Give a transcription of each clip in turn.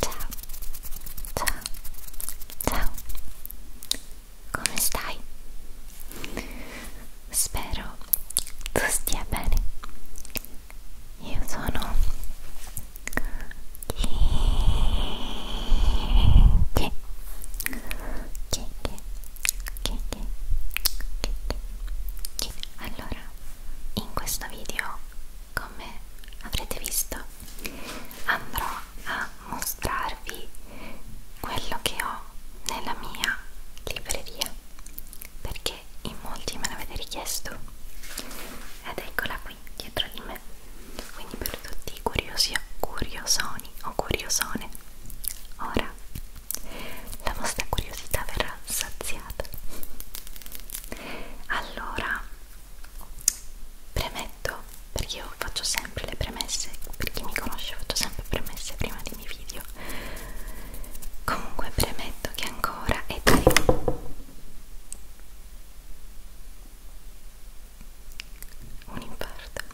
Ciao, ciao, come stai? Spero tu stia bene. Io sono allora, in questo video, come avrete visto, andrò a mostrarvi quello che ho nella mia libreria perché in molti me l'avete richiesto ed eccola qua qui dietro di me quindi per tutti i curiosi curiosoni o curiosone ora la vostra curiosità verrà saziata allora premetto perché io faccio sempre le premesse per chi mi conosce faccio sempre premesse prima dei miei video comunque premetto che ancora è tardi un infarto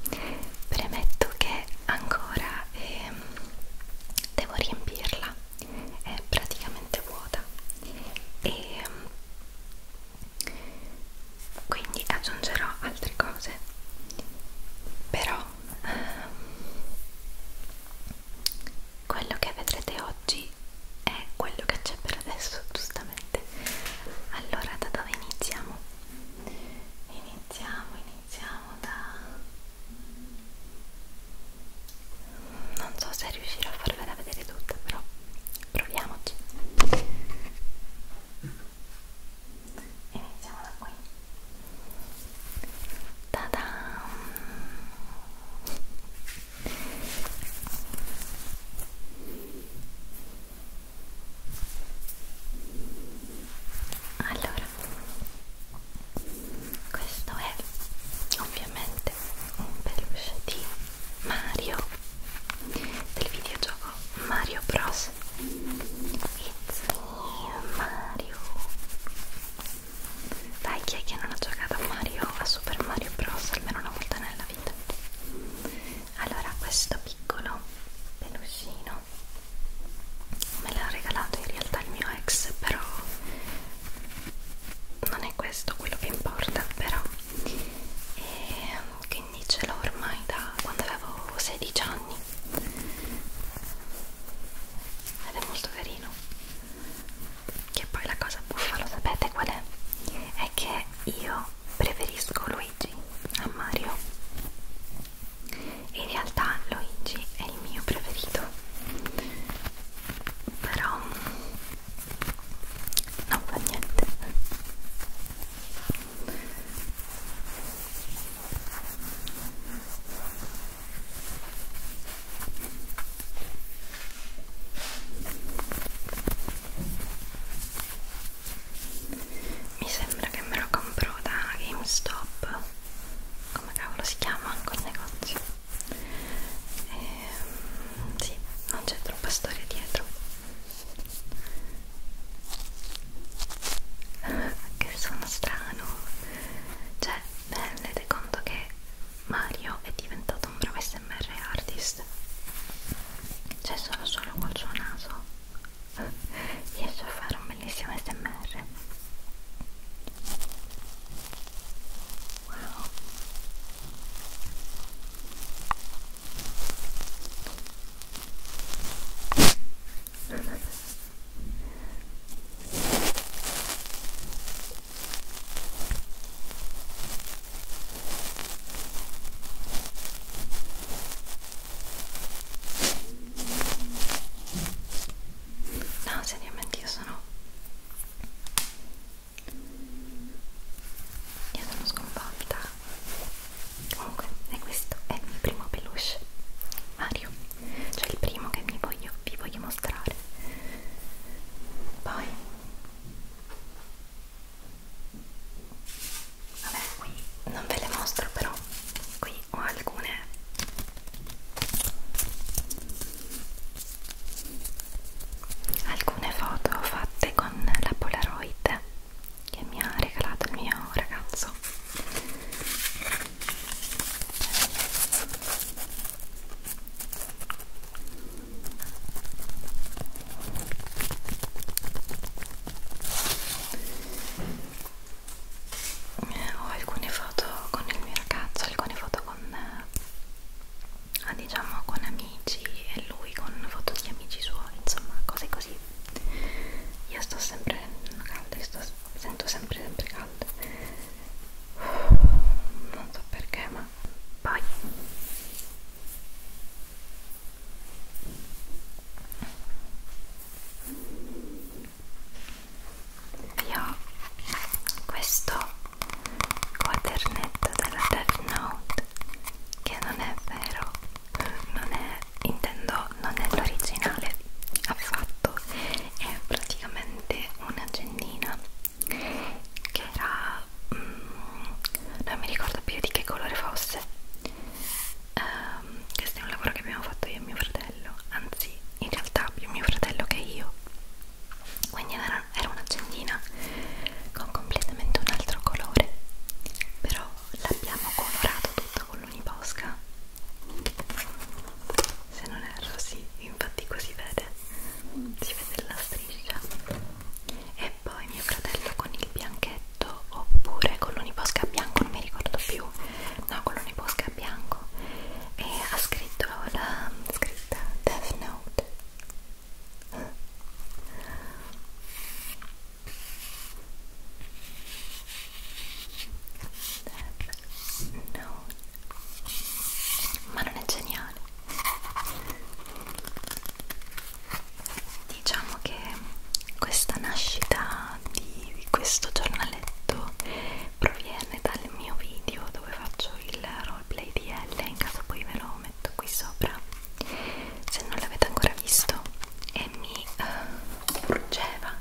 premetto che ancora eh, devo riempirla è praticamente vuota e ehm, quindi aggiungerò altre cose però ehm, quello che vedrete oggi quindi è quello che c'è per adesso giustamente allora da dove iniziamo? iniziamo iniziamo da non so se riuscirò a farvela vedere tutta però proviamoci iniziamo da qui Ta-da! allora questo è ovviamente un peluche di Mario del videogioco Mario Bros It's me Mario dai, chi è che non ha giocato a Mario, a Super Mario Bros almeno una volta nella vita? Allora, questo piccolo peluscino me l'ha regalato in realtà il mio ex, però non è questo quello che importa, però e ehm, quindi ce l'ho ormai da quando avevo 16 anni ed è molto carino che poi la cosa buffa lo sapete qual è? è che io preferisco Luigi a Mario in realtà Luigi è il mio preferito però non fa niente mi sembra che me lo compro da GameStop come cavolo si chiama quel negozio ehm, sì, non c'è troppa storia dietro che sono strano cioè, beh, rendete conto che Mario è diventato un bravo smr artist cioè solo solo col suo naso riesce a fare un bellissimo smr wow No, seriamente io sono io sono sconvolta. Comunque, e questo è il mio primo peluche Mario, cioè il primo che mi voglio, vi voglio mostrare. Poi Vabbè, qui non ve le mostro però, qui ho alcune alcune foto fatte con la Polaroid che mi ha regalato il mio ragazzo eh, ho alcune foto con il mio ragazzo, alcune foto con eh, diciamo con amici e lui con foto di amici suoi, insomma, cose così. Io sto sempre calda, sto, sento sempre sempre calda. Non so perché, insomma poi io questo quadernetto della Death Note che non è vero non è intendo non è l'originale affatto è praticamente una gennina che era mm, non mi ricordo più di che colore fosse um, questo è un lavoro che abbiamo fatto io e mio fratello anzi in realtà più mio fratello che io quindi era, era un'accendina con completamente un altro colore però l'abbiamo colorato tutta con l'uniposca se non erro sì infatti così vede si vede la striscia e poi mio fratello con il bianchetto oppure con l'uniposca bianco non mi ricordo più no con l'uniposca bianco e ha scritto la scritta Death Note Death Note ma non è geniale Diciamo che questa nascita di questo giornaletto proviene dal mio video dove faccio il roleplay di L, in caso poi ve lo metto qui sopra se non l'avete ancora visto e mi uh, eh, urgeva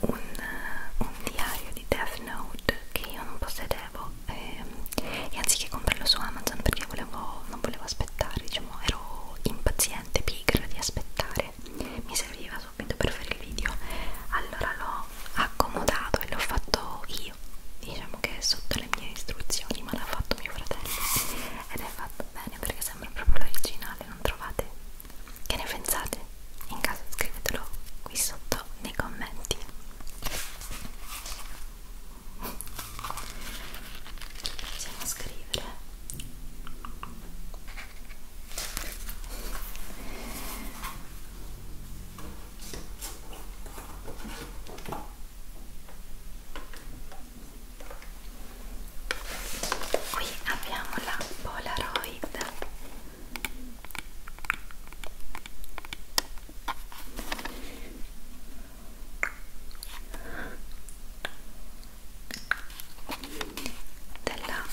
un, uh, un diario di Death Note che io non possedevo eh, e anziché comprarlo su Amazon perché volevo, non volevo aspettare, diciamo, ero impaziente, pigra di aspettare, mi serviva subito per fare il video, allora l'ho accomodato e l'ho fatto io, diciamo che è sotto le mie istruzioni, ma l'ha fatto mio fratello ed è fatto bene perché sembra proprio l'originale, non trovate? Che ne pensate? In caso scrivetelo qui sotto nei commenti possiamo scrivere qui abbiamo la Polaroid della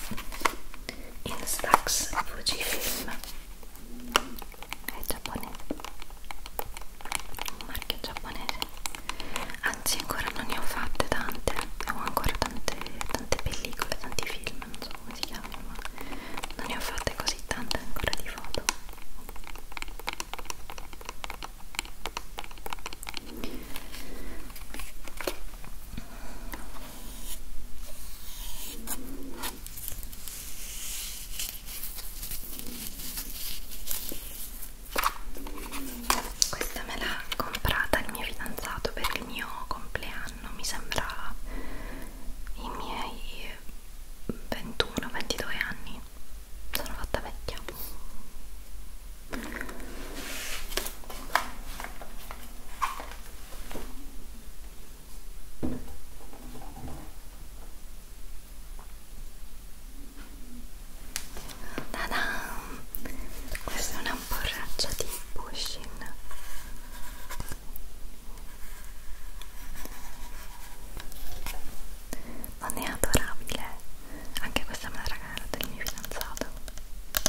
Instax Fujifilm è giapponese un marchio giapponese anzi ancora non ne ho fatte tante ho ancora tante, tante pellicole, tanti film non so so come si chiama ma non ne ho fatte così tante ancora di foto questa me l'ha comprata il mio fidanzato per il mio compleanno anno, mi sembra i miei 21-22 anni, sono fatta vecchia. Questa è una borraccia di Bushin non è adorabile anche questa me la regala del mio fidanzato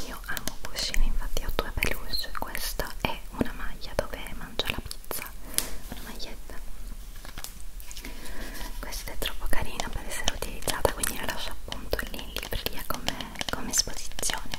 io amo Pushini infatti ho due peluche questa è una maglia dove mangio la pizza una maglietta questa è troppo carina per essere utilizzata quindi la lascio appunto lì in libreria come, come esposizione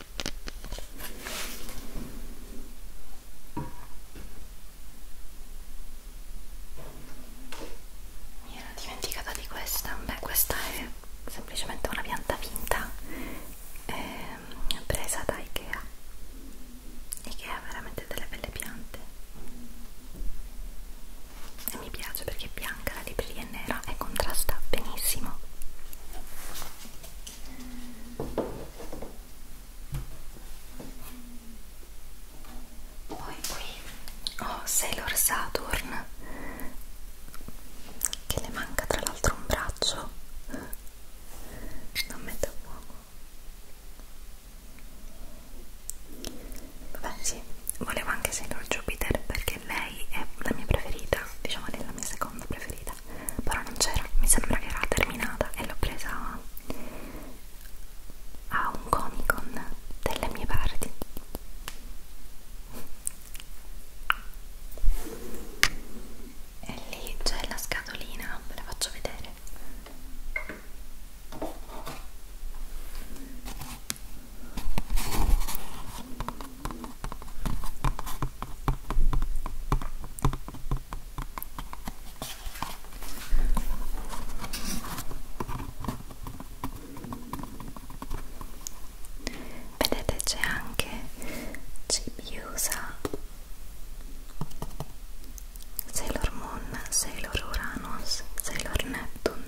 Mi ero dimenticata di questa, beh questa è semplicemente una pianta finta eh, presa da Ikea Ikea ha veramente delle belle piante e mi piace perché è bianca, la libreria è nera e contrasta benissimo poi qui ho Sailor Saturn che le manca tra l'altro un braccio non mette a fuoco vabbè sì volevo anche Sailor Jupiter perché lei è la mia preferita diciamo lei è la mia seconda preferita finita però non c'era, mi sembra che era terminata e l'ho presa a, a un comic con delle mie parti e lì c'è la scatolina, ve la faccio vedere Vedete c'è anche Cibiusa, Sailor Moon, Sailor Uranus, Sailor Neptune.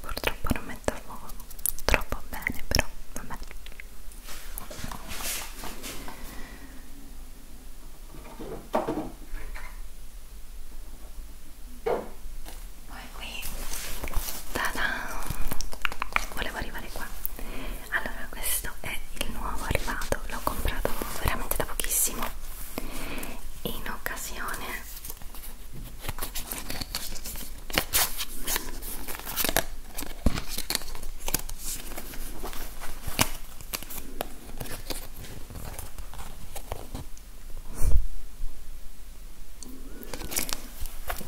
Purtroppo non metto il fuoco troppo bene, però vabbè poi qui tada volevo arrivare qua allora questo è il nuovo arrivato l'ho comprato veramente da pochissimo in occasione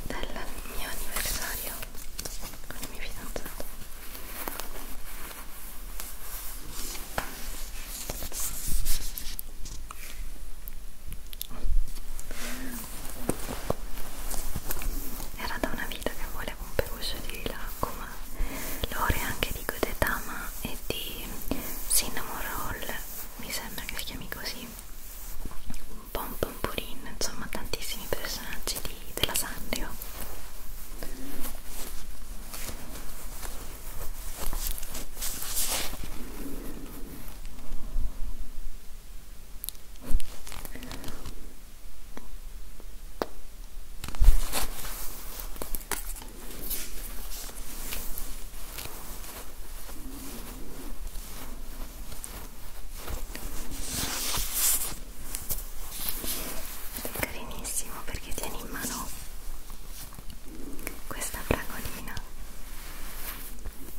del mio anniversario con il mio fidanzato era da una vita che volevo un peluche di Lacoma, l'ore anche di Godetama e di di cinnamon roll mi sembra che si chiami così un po' un pompurin insomma tantissimi personaggi di, della Sanrio è carinissimo perché tiene in mano questa fragolina.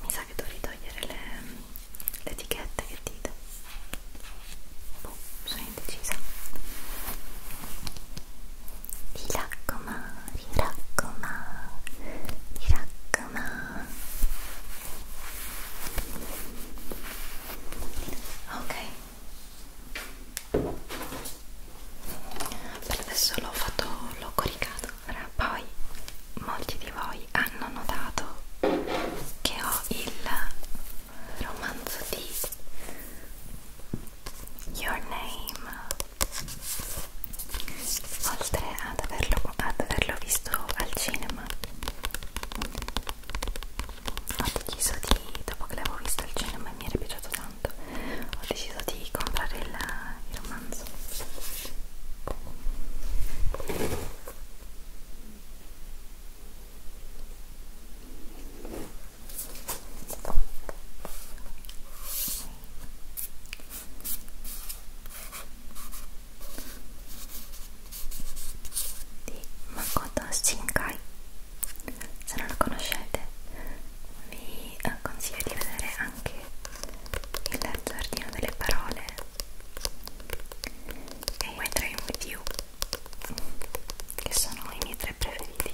Mi sa che dovrei togliere le, le etichette che dite. Boh, sono indecisa. リラックマリラックマリラックマー ok per adesso l'ho fatto l'ho coricato allora, poi molti di voi hanno notato che ho il romanzo di Your Name oltre ad averlo, ad averlo visto al cinema ho deciso di, dopo che l'avevo visto al cinema e mi era piaciuto tanto ho deciso di comprare il, il romanzo di Makoto Shinkai se non lo conoscete vi eh, consiglio di vedere anche il giardino delle parole e i miei tre video che sono i miei tre preferiti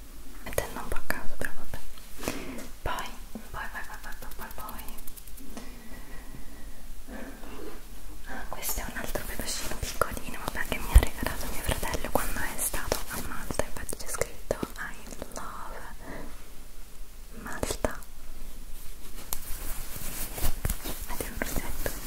mettendo un po' a caso però vabbè poi poi poi poi poi poi ah, questo è un altro pedoncino piccolino vabbè che mi ha regalato mio fratello quando è stato a Malta infatti c'è scritto I love Malta ed è un rossetto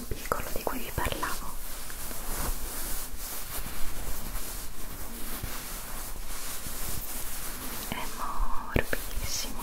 in piccolo di cui vi parlavo è morbidissimo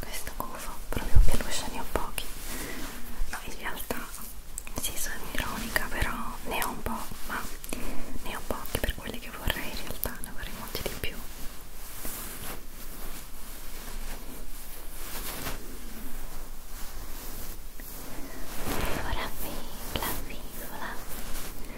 questo gufo proprio peluche ne ho pochi no, in realtà sì sono ironica però ne ho un po' ma ne ho pochi per quelli che vorrei in realtà ne vorrei molti di più Ora vivo, la vivo, la vivo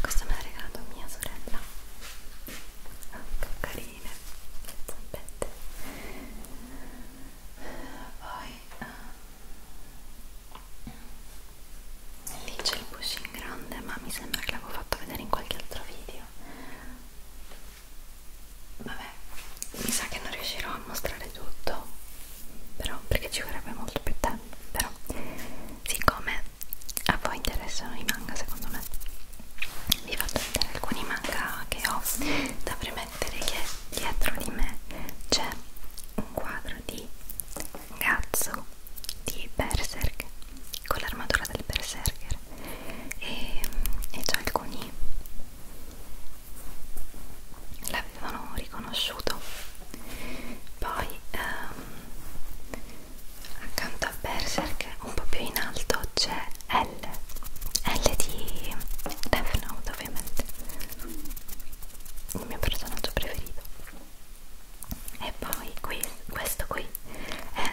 Questo me l'ha regalato mia sorella. Ah, che carine, zampette. Poi ah, lì c'è il pushing grande, ma mi sembra che l'avevo fatto vedere in qualche altro video. Vabbè, mi sa che non riuscirò a mostrare tutto, però perché ci vorrebbe molto più tempo. Però, siccome a voi interessano i manga, secondo me, vi faccio vedere alcuni manga che ho da premettere che dietro di me c'è un quadro di Gatsu di Berserk con l'armatura del Berserker skincare e, e già alcuni l'avevano riconosciuto poi ehm, accanto a Berserk un po' più in alto c'è L L di Death Note ovviamente il mio personaggio preferito e poi qui, questo qui è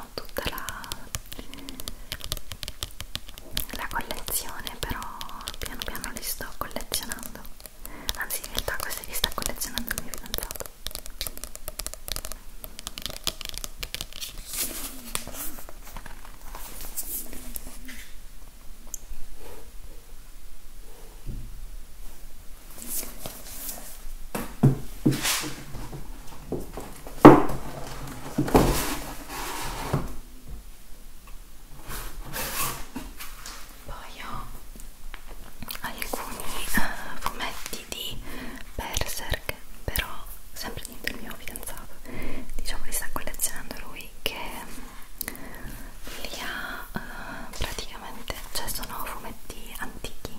ho tutta la, la collezione però piano piano li sto collezionando anzi in realtà questi li sta collezionando il mio fidanzato poi ho alcuni uh, fumetti di Berserk, però sempre niente il mio fidanzato, diciamo li sta collezionando lui che mm, li ha uh, praticamente, cioè sono fumetti antichi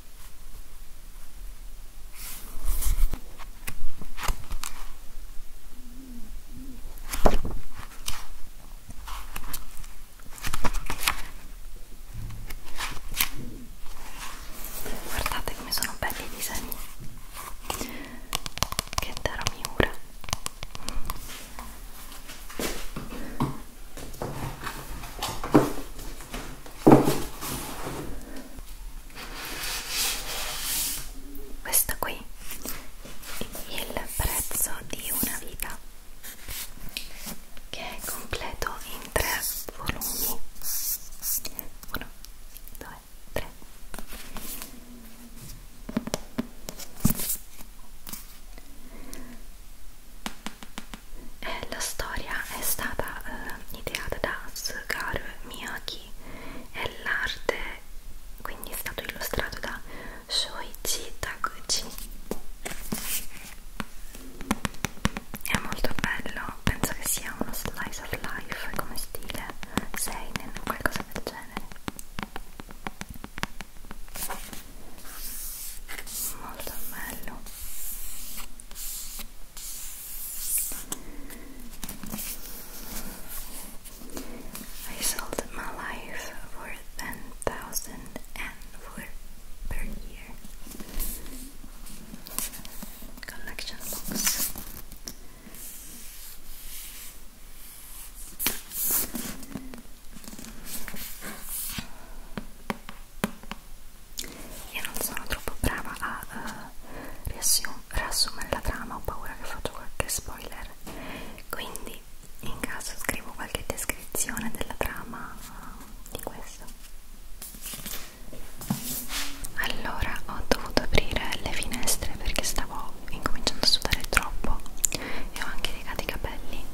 Guardate come sono belli i disegni. Che terra miura questa qui il prezzo di una vita che è completo in tre volumi 1 2 3 eh, la storia è stata eh, ideata da Sugaru Miyagi e l'arte quindi è stato illustrato da Shoichi Taguchi. È molto bello, penso che sia uno slice of life come stile seinen o qualcosa del genere. Molto bello. I sold my life for ten thousand and for per year. Collection box. e non sono troppo brava a uh, riassumere la trama, ho paura che faccio qualche spoiler quindi in caso scrivo qualche descrizione della trama uh, di questo allora ho dovuto aprire le finestre perché stavo incominciando a sudare troppo e ho anche legato i capelli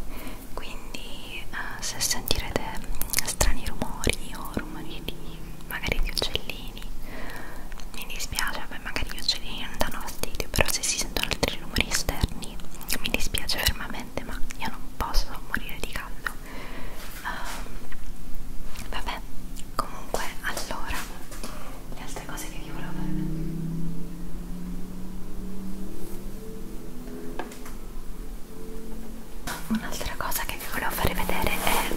quindi uh, se sentirete strani rumori o rumori di magari di uccellini mi dispiace, beh, magari gli uccellini non danno fastidio però se si sentono altri rumori esterni mi dispiace fermamente ma io non posso morire di caldo uh, vabbè comunque allora le altre cose che vi volevo fare Un'altra cosa che vi volevo fare vedere è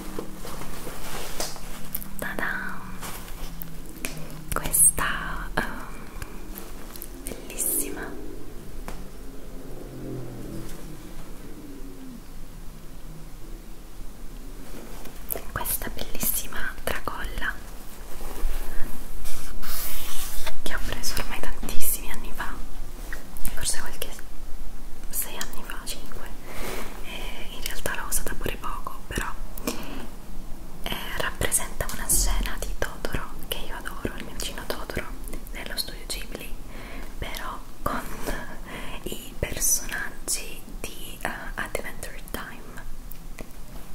Tada! questa um, bellissima questa bellissima tracolla che ho preso ormai tantissimi anni fa forse qualche 6 anni fa, 5 e eh, in realtà l'ho usata pure poco però eh, rappresenta una scena di Totoro che io adoro, il mio vicino Totoro nello studio Ghibli però con i personaggi di uh, Adventure Time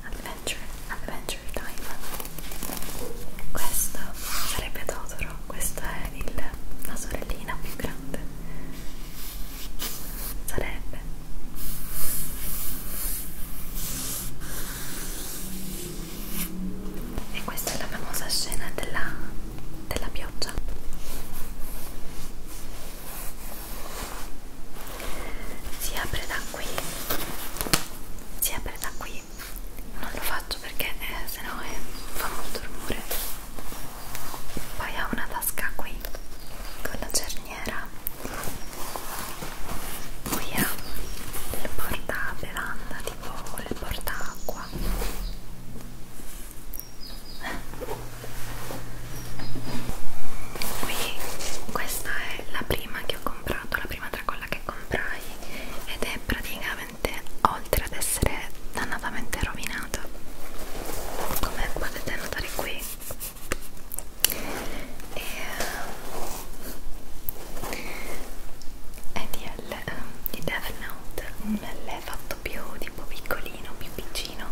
Adventure, Adventure Time questo sarebbe Totoro, questo è il per la sorellina più grande sarebbe e questa è la famosa scena della, della pioggia si apre da qui si apre da qui non lo faccio perché eh, sennò eh, fa molto rumore poi ha una tasca qui con la cerniera qui ha il porta bevanda tipo il porta acqua qui questa è la prima che ho comprato la prima tracolla che comprai ed è pratica veramente oltre ad essere dannatamente rovinata come potete notare qui e EDL di Death Note l'è fatto più tipo piccolino, più piccino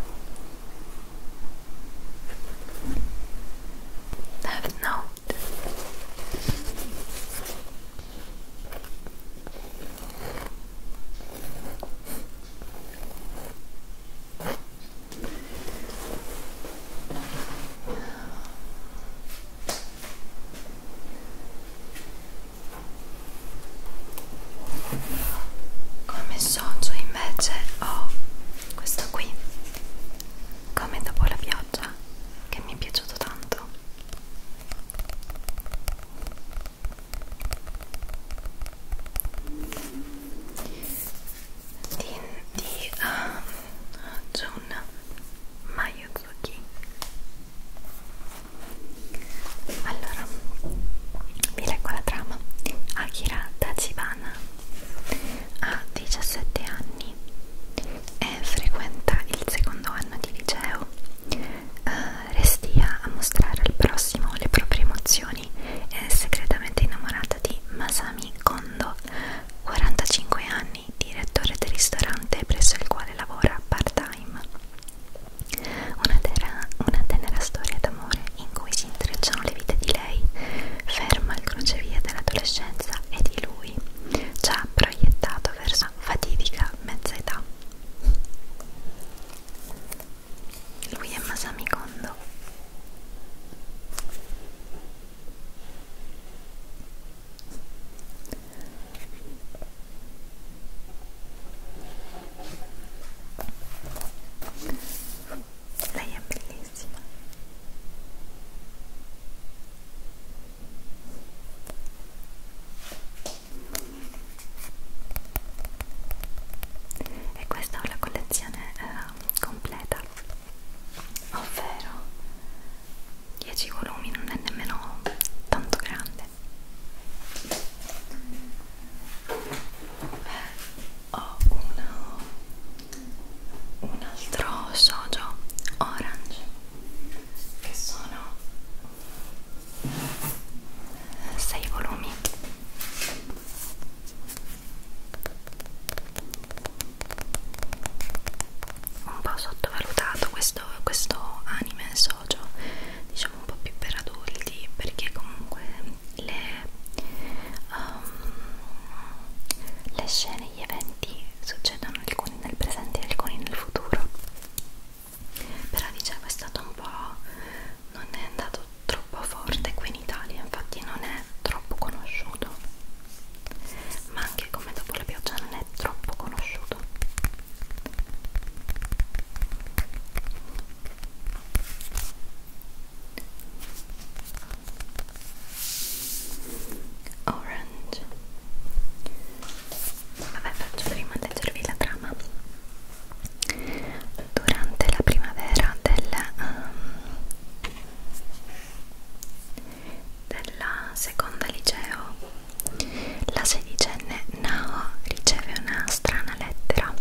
Death Note come socio invece ho questo qui, come dopo la pioggia, che mi è piaciuto tanto di, di uh, um, Jun Mayuzuki allora vi leggo la trama Akira Tachibana ha 17 anni è frequenta il secondo anno di liceo eh, restia a mostrare al prossimo le proprie emozioni e è segretamente innamorata di Masami Kondo, 45 anni, direttore del ristorante presso il quale lavora part-time. Una, una tenera storia d'amore in cui si intrecciano le vite di lei, ferma il crocevia dell'adolescenza e di lui, già proiettato verso famosa fatidica mezza età lui è Masami Kondo lei è bellissima e questa è una collezione eh, completa ovvero 10 volumi non è nemmeno tanto grande eh, ho uno un altro sojo orange che sono sei volumi un po' sottovalutato questo, questo anime socio diciamo un po' più per adulti perché comunque le, um, le scene gli eventi succedono alcuni nel presente e alcuni nel futuro però dicevo è stato un po' non è andato troppo forte qui in Italia infatti non è troppo conosciuto ma anche come dopo la pioggia non è troppo conosciuto orange vabbè faccio prima leggervi la trama durante la primavera del, um, della seconda liceo la sedicenne Nao riceve una strana lettera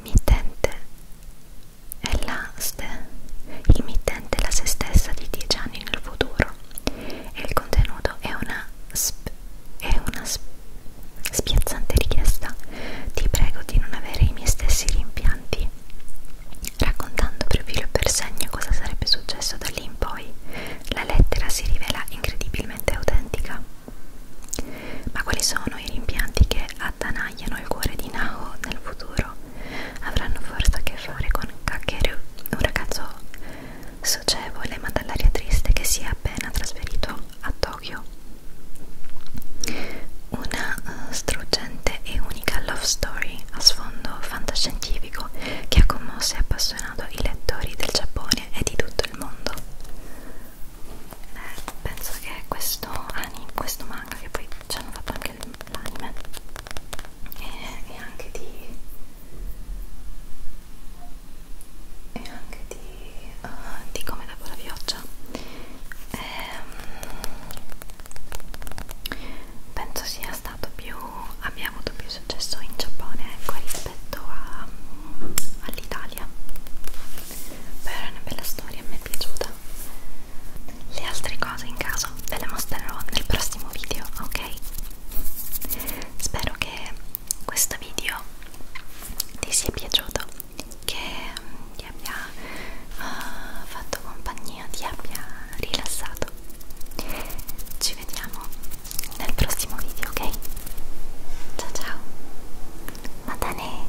mittente è la il mittente è la se stessa di 10 anni nel futuro e il contenuto è una è una spiazzante richiesta. Ti prego di non avere i miei stessi rimpianti. Raccontando per filo e per segno cosa sarebbe successo da lì in poi, la lettera si rivela incredibilmente autentica. Ma quali sono i rimpianti che attanagliano il cuore di Nao nel futuro? Avranno forse a che fare con Kakeru, un ragazzo socievole ma dall'aria triste che si è appena trasferito a Tokyo. Una uh, struggente e unica love story a sfondo fantascientifico che ha commosso e appassionato i lettori del Giappone e di tutto il mondo. Eh, penso che questo anime, questo manga che poi ci hanno fatto anche l'anime e, e anche di e anche di, uh, di come dopo la pioggia ehm, penso sia stato più abbia avuto più successo in Giappone ecco, rispetto um, all'Italia però è una bella storia mi è piaciuta le altre cose in caso ve le mostrerò nel prossimo video ok spero che questo video ti sia piaciuto che ti abbia uh, fatto compagnia ti abbia rilassato ci vediamo nel prossimo video ok ciao ciao matane